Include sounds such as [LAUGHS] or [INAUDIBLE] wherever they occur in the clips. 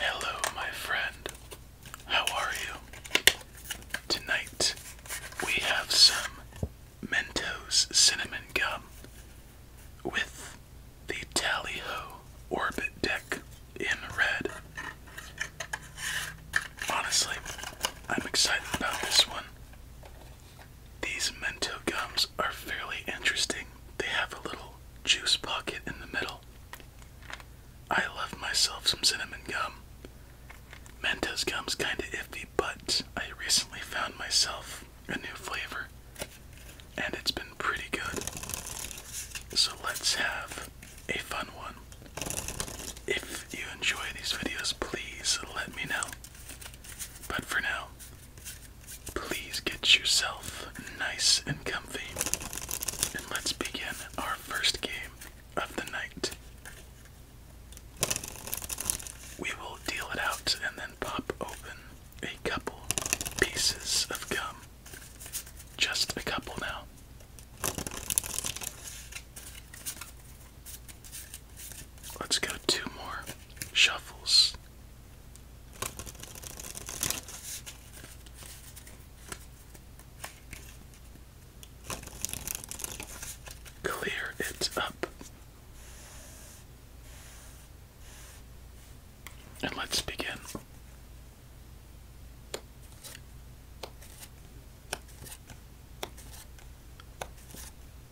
Hello, my friend. How are you? Tonight we have some Mentos cinnamon gum with the Tally Orbit deck in red. Honestly, I'm excited about this one. These Mento gums are fairly interesting. They have a little juice pocket in the middle. I love myself some cinnamon gum. Mentos gum's kinda iffy, but I recently found myself a new flavor and it's been pretty good. So let's have a fun one. If you enjoy these videos, please let me know. But for now, Please get yourself nice and comfy, and let's begin our first game of the night. We will deal it out and then pop open a couple pieces of gum. Just a couple now. Let's go two more shuffles Clear it up. And let's begin.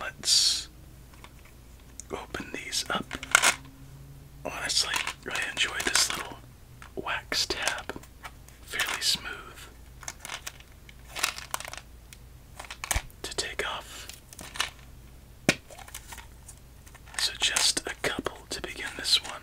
let's open these up. Honestly, I enjoy this little wax tab, fairly smooth to take off. So, just a couple to begin this one.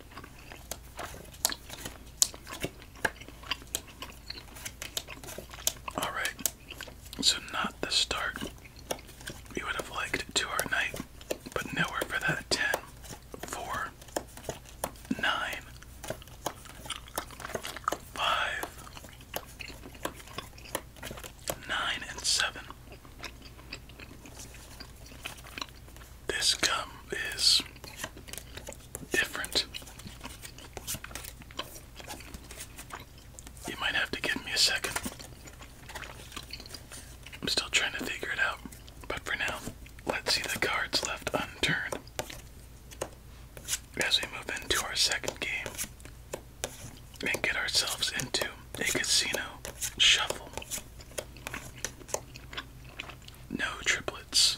All right. So not the start we would have liked to our night, but nowhere for that ten, four, nine, five, nine, and seven. This gum is different. You might have to give me a second. I'm still trying to figure it out, but for now, let's see the cards left unturned as we move into our second game and get ourselves into a casino shuffle. No triplets.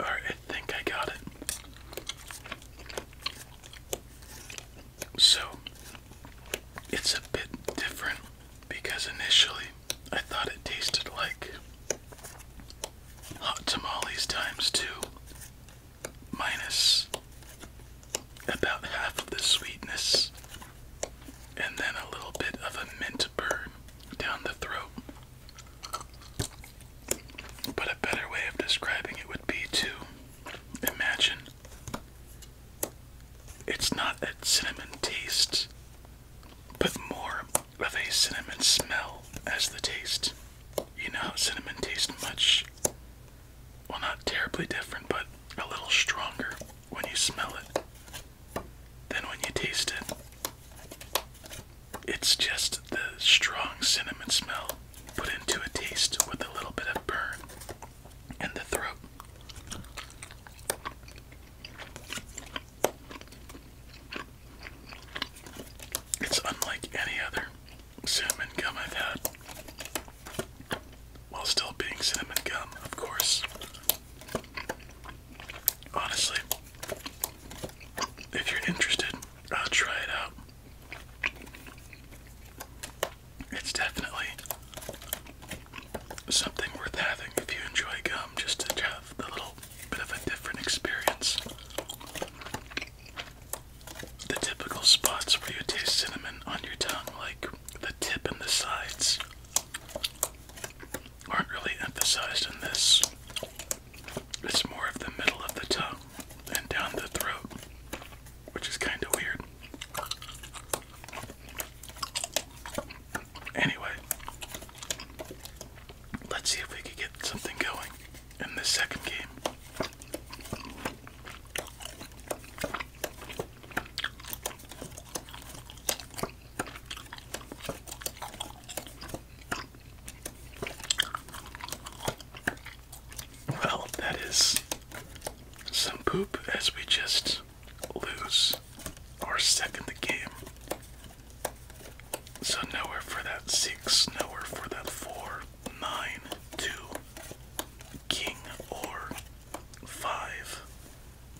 All right, I think I got it. So it's a bit different because initially I thought it tasted like hot tamales times two, minus about half of the sweetness, and then a little bit of a mint burn down the throat. But better way of describing it would be to imagine it's not that cinnamon tastes, but more of a cinnamon smell as the taste. You know how cinnamon tastes much, well, not terribly different, but a little stronger when you smell it than when you taste it. It's just the strong cinnamon smell put into a taste with a little bit of burn in the throat. It's unlike any other cinnamon gum I've had, while still being cinnamon gum, of course. Honestly, if you're interested, I'll try it out. It's definitely something worth having if you enjoy gum, just to have a little bit of a different experience. The typical spots where you taste cinnamon on your tongue, like the tip and the sides, aren't really emphasized in this. It's more of the middle of the tongue and down the throat, which is kind of weird. Anyway, let's see if we can get something going in this second game. Well, that is some poop as we just lose our second game. So nowhere for that six, nowhere for that four, nine, two, king, or five.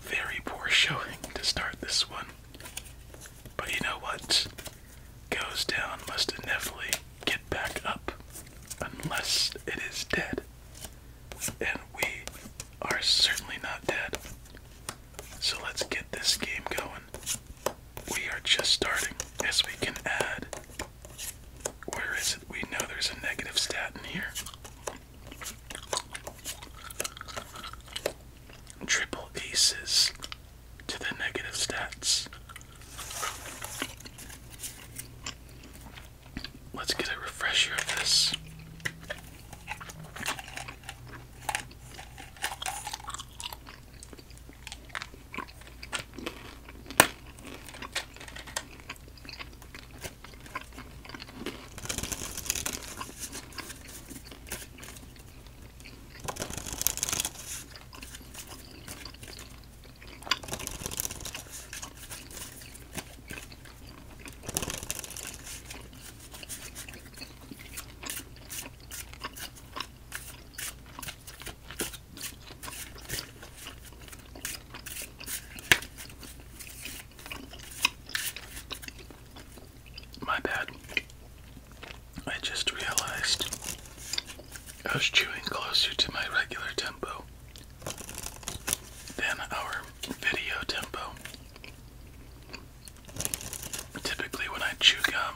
Very poor [LAUGHS] showing to start this one. But you know what? goes down must inevitably get back up unless it is dead. And we are certainly not dead. So let's get this game going. We are just starting. as we can add. Where is it? We know there's a negative stat in here. Triple aces to the negative stats. Let's get a refresher of this. My bad. I just realized I was chewing closer to my regular tempo than our video tempo. Typically, when I chew gum,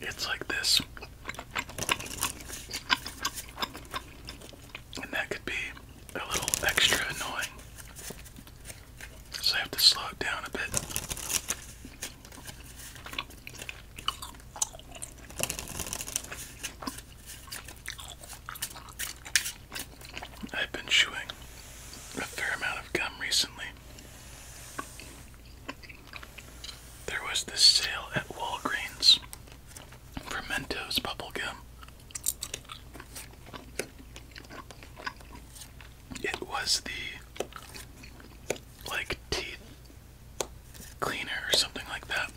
it's like this. And that could be a little extra annoying. So I have to slow it down a bit. I've been chewing a fair amount of gum recently. There was this sale at Walgreens for Mentos bubble gum. It was the like teeth cleaner or something like that.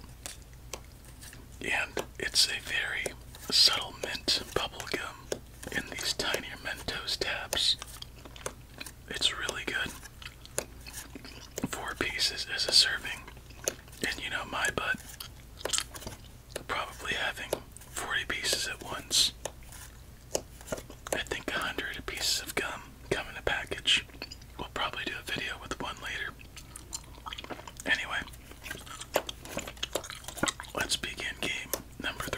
And it's a very subtle mint bubble gum in these tiny Mentos tabs. It's really good. Four pieces as a serving. And you know my butt. Probably having 40 pieces at once. I think 100 pieces of gum come in a package. We'll probably do a video with one later. Anyway, let's begin game number three.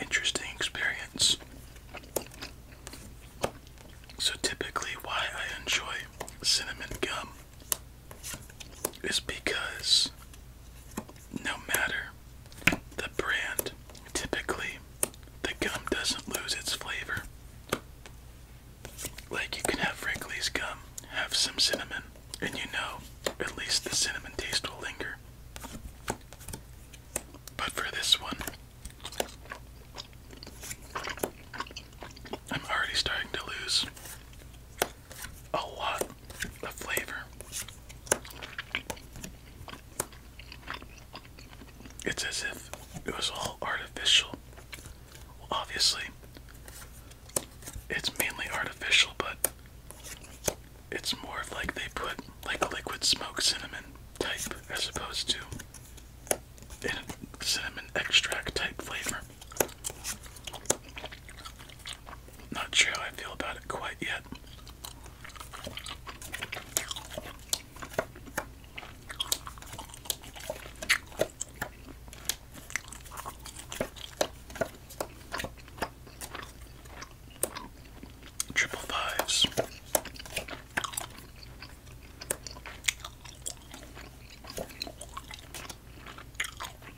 Interesting experience. So, typically, why I enjoy cinnamon gum is because no matter the brand, typically the gum doesn't lose its flavor. Like you can have Wrigley's gum, have some cinnamon, and you know at least the cinnamon taste will linger. But for this one, I'm already starting to lose a lot of flavor. It's as if it was all artificial. obviously, it's mainly artificial, but it's more like they put like liquid smoke cinnamon type as opposed to cinnamon extract type flavor. Not sure how I feel about it quite yet. Triple fives.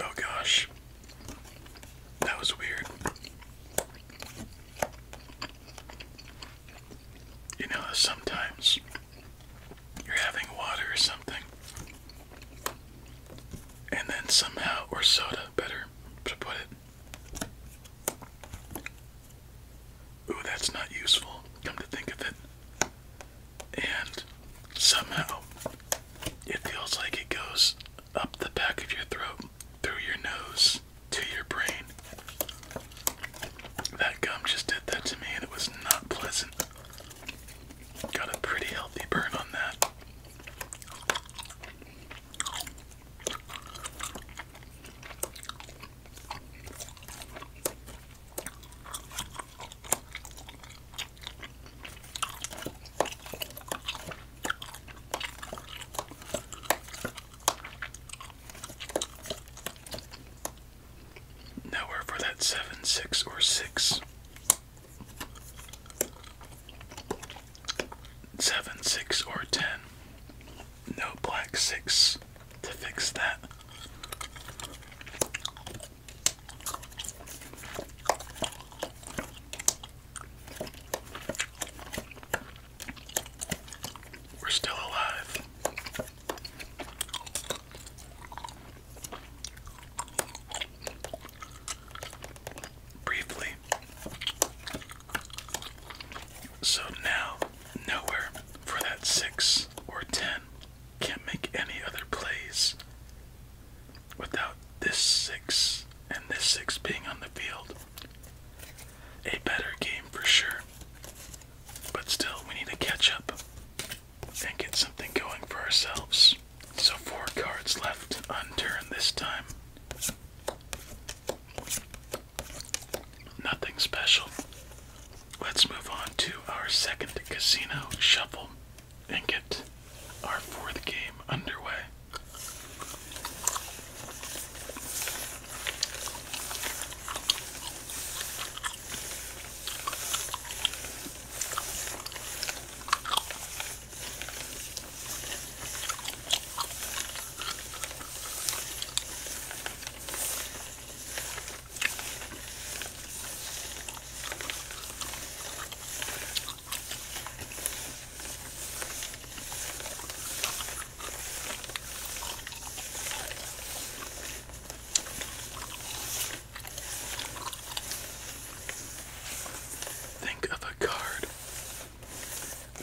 Oh gosh. That was weird. You know, sometimes you're having water or something, and then somehow, or soda, better to put it. Ooh, that's not useful, come to think of it. And somehow it feels like it goes up the back of your throat, through your nose, to your brain. That gum just did that to me and it was not pleasant. Got a pretty healthy burn on that. Nowhere for that seven, six, or six. Seven, six, or ten. No black six to fix that. We're still alive. Briefly. So now, nowhere for that six or ten. Can't make any other plays without this six and this six being on the field. A better game for sure. But still, we need to catch up and get something going for ourselves. So, four cards left unturned this time. Nothing special. Let's move on to our second casino shuffle and get our fourth game underway. Think of a card.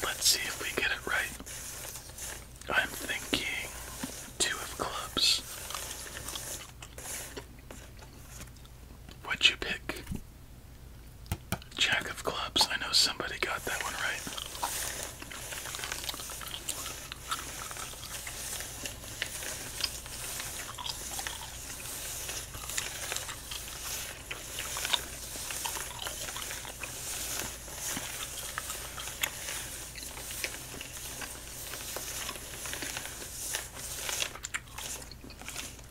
Let's see if we get it right. I'm thinking two of clubs. What'd you pick? Jack of clubs. I know somebody got that one right.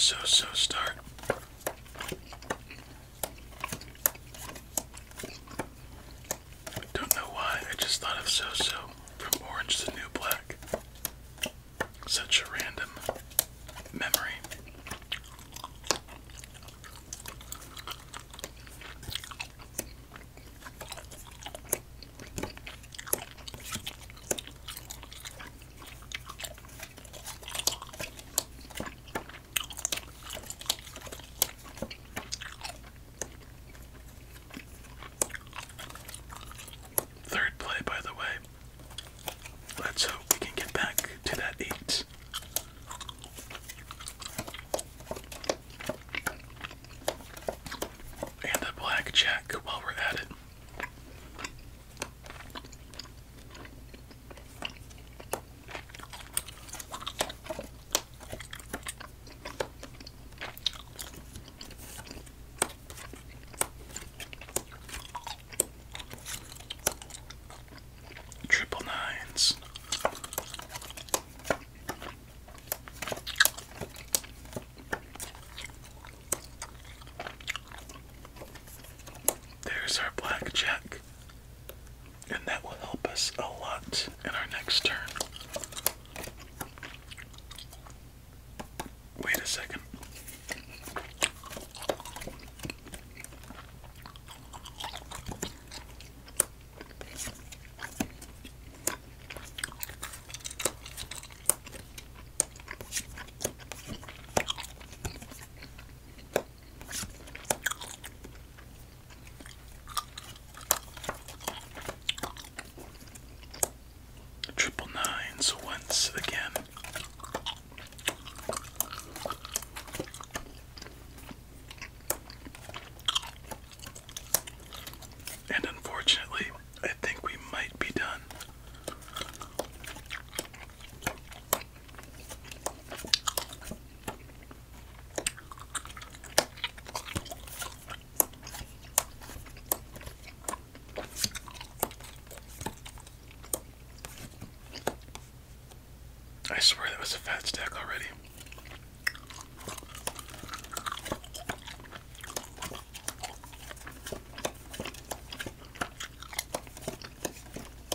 So, so start. Don't know why, I just thought of So So from Orange to New Black. Such a random memory. Third play, by the way. Let's hope we can get back to that eight. And a blackjack while we're at it. Triple nines. There's our blackjack and that will help us a lot in our next turn. Wait a second. Triple nines once again. And unfortunately, I think we might be done. I swear that was a fat stack already.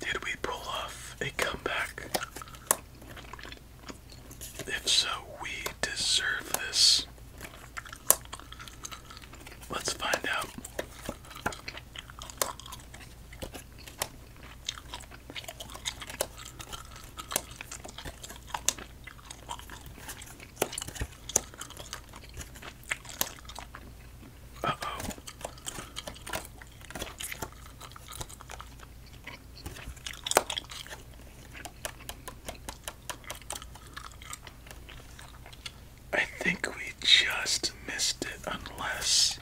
Did we pull off a comeback? If so, we deserve this. Let's find out oh. I think we just missed it, unless.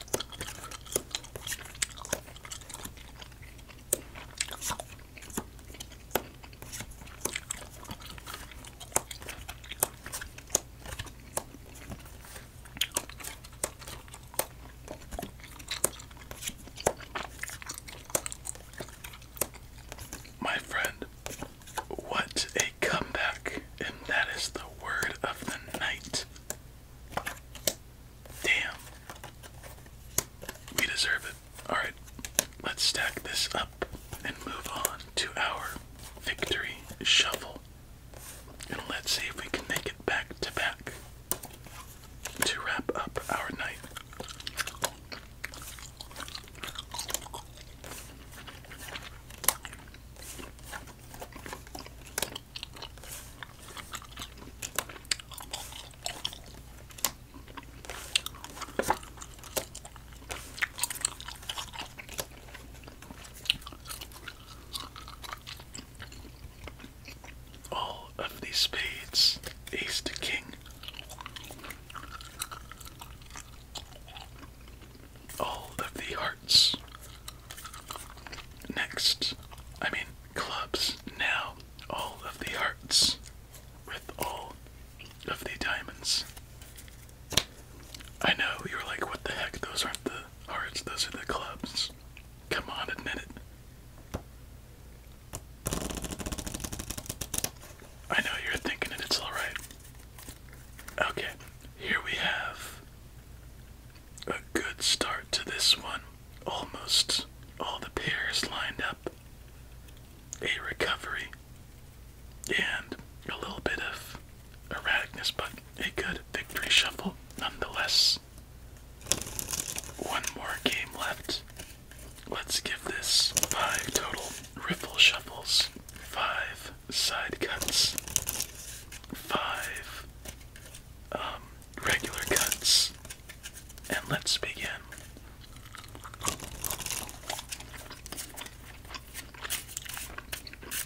My friend, what a comeback, and that is the word of the night. Damn. We deserve it. Alright, let's stack this up and move on to our victory shovel. And let's see if we can make it back to back to wrap up our night. All of the spades, ace to king. All of the hearts. Next, I mean clubs. Now, all of the hearts with all of the diamonds. I know, you are like, what the heck? Those aren't the hearts, those are the clubs. Come on, admit it. I know you're thinking it, it's alright. Okay, here we have a good start to this one. Almost all the pairs lined up. A recovery, and a little bit of erraticness, but a good victory shuffle nonetheless. One more game left. Let's give this five total riffle shuffles, five side cuts, five um, regular cuts, and let's begin.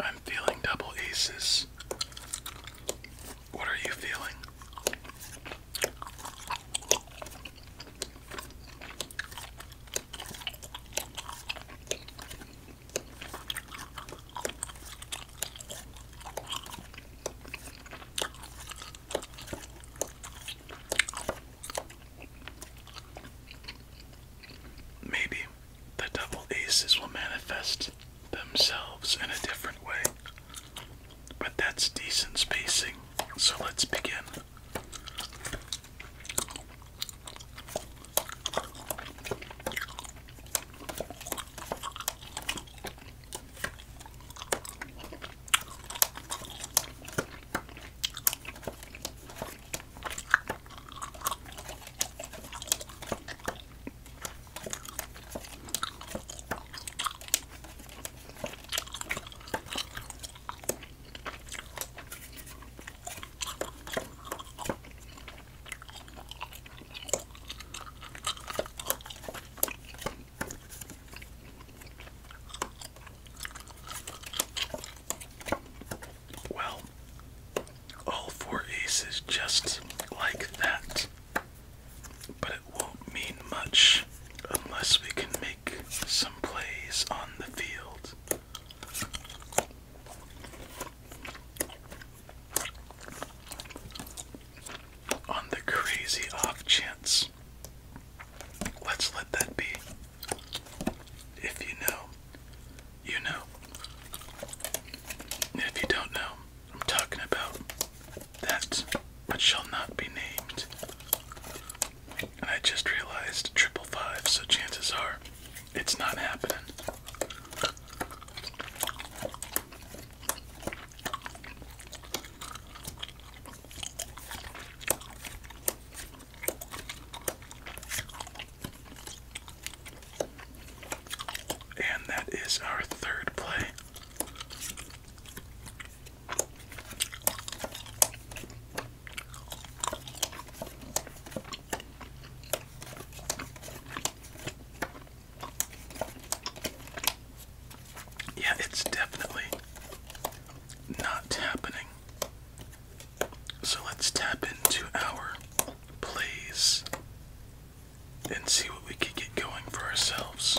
I'm feeling double aces. What are you feeling? Maybe the double aces will manifest themselves in a different way but that's decent spacing. So let's begin. Well, all four aces just like that but it won't mean much unless we can make some plays on the field. On the crazy off chance. Let's let that be. If you know, you know. If you don't know, I'm talking about that but shall not be named. And I just realized triple five, so chances are it's not happening. And that is our third play. Yeah, it's definitely not happening. So let's tap into our plays and see what we can get going for ourselves.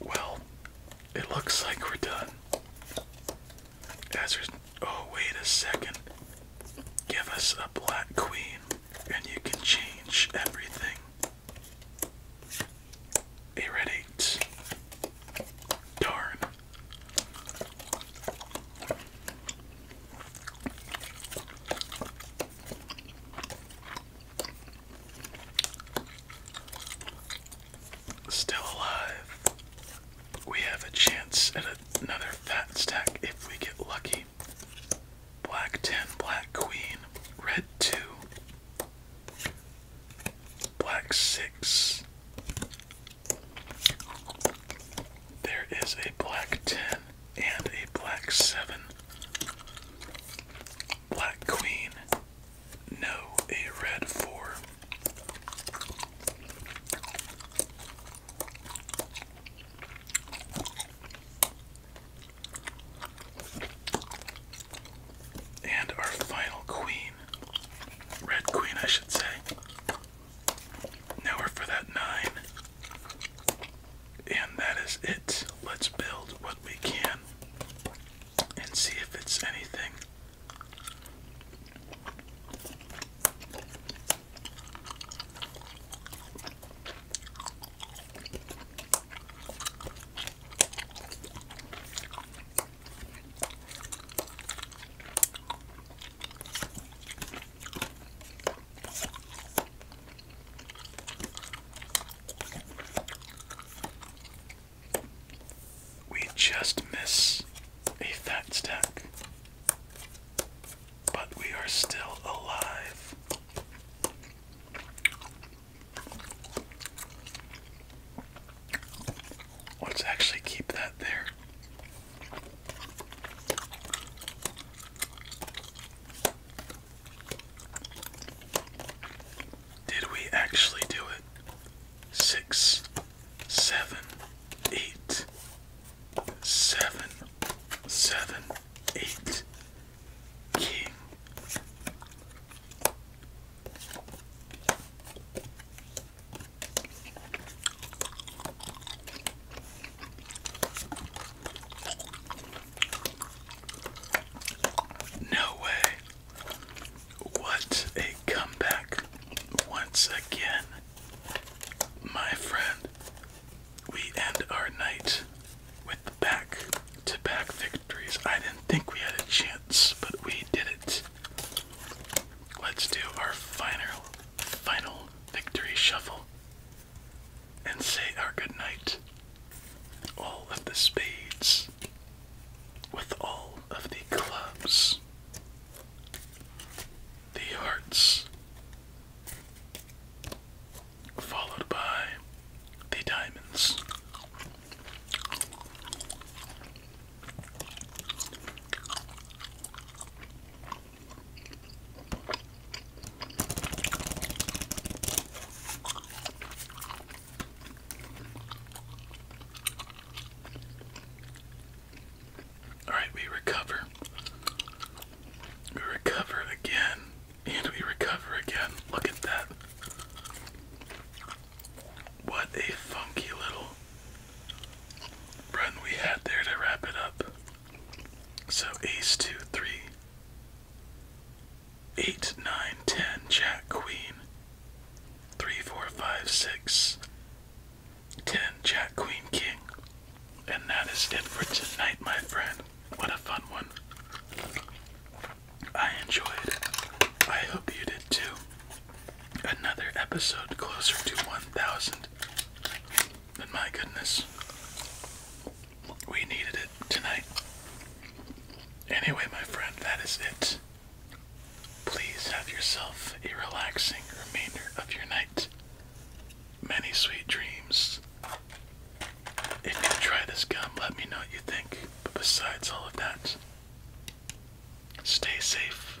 Well, it looks like we're done. As oh wait a second. Give us a black queen, and you can change everything. A red eight. Darn. Still alive. We have a chance at another fat stack if we get lucky. Black 10, black queen, red 2, black 6. There is a black 10 and a black seven. Black queen, no, a red four. And our final queen, red queen, I should say, now we're for that nine. And that is it. Let's build what we can and see if it's anything. We just miss a fat stack, but we are still alive. Let's actually keep that there. Did we actually do it? Six, seven, eight, seven, seven, eight, king. No way. What a comeback once again. My friend, we end our night with back to back victories. I didn't think we had a chance, but we did it. Let's do our final final victory shuffle and say our good night. All of the spades with all of the clubs, the hearts, followed by the diamonds. All right, we recover. We recover again, and we recover again. Look at that. What a funky little run we had there to wrap it up. So ace, two, three, eight, nine, ten, jack, queen, three, four, five, six, ten, jack, queen, king. And that is it for tonight, my friend. What a fun one. I enjoyed. I hope you did too. Another episode closer to 1,000. And my goodness, we needed it tonight. Anyway, my friend, that is it. Please have yourself a relaxing remainder of your night. Many sweet dreams. If you try this gum, let me know what you think. But besides all of that, stay safe,